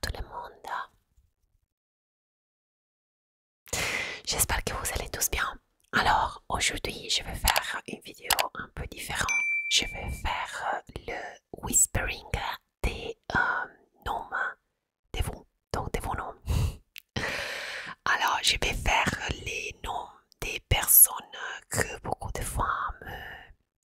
tout le monde. J'espère que vous allez tous bien. Alors, aujourd'hui, je vais faire une vidéo un peu différente. Je vais faire le whispering des euh, noms de vous, de vos noms. Alors, je vais faire les noms des personnes que beaucoup de femmes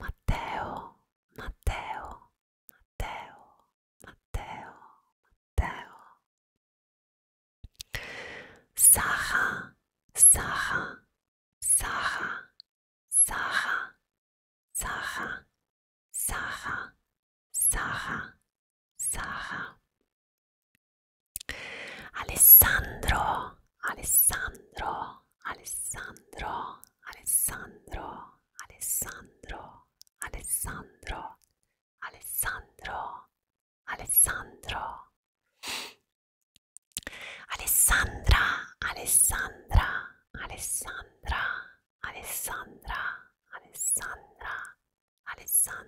Matteo, Matteo, Matteo, Matteo, Matteo. Sara, Sara, Sara, Sara, Sara, Sara, Sara, Sara. Alessandro, Alessandro, Alessandro, Alessandro, Alessandro, Alessandro, Alessandro, Alessandro, Alessandra, Alessandra, Alessandra, Alessandra, Alessandra, Alessandra,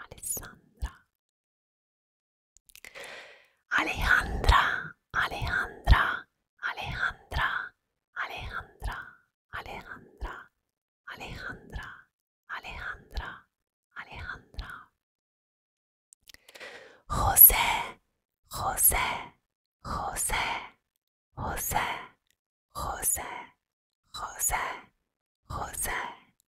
Alessandra, Alejandra, Alejandra, Alejandra, Alejandra, Alejandra, Alejandra, Alejandra, Alejandra. José, José, José, José, José, José, José,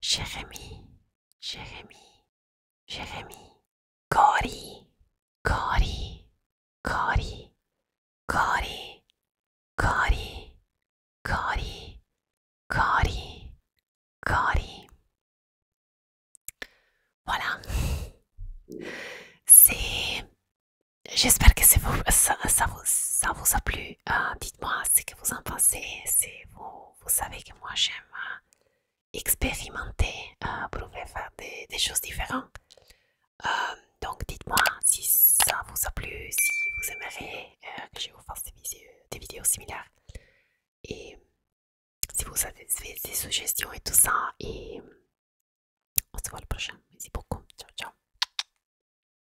Jérémy, Jérémy, Jérémy. Cory, Cory, Cory, Cory, Cory, Cory, Cory, Cory. Voilà. C'est. J'espère que ça, vous, a plu. Euh, dites-moi ce que vous en pensez, C'est vous vous savez que moi j'aime euh, expérimenter, euh, pour faire des, choses différentes. Euh, donc dites-moi si ça vous a plu, si vous aimeriez que je vous fasse des, vidéos, des vidéos similaires. Et si vous avez des suggestions et tout ça. Et on se voit le prochain. Merci beaucoup. Ciao, ciao.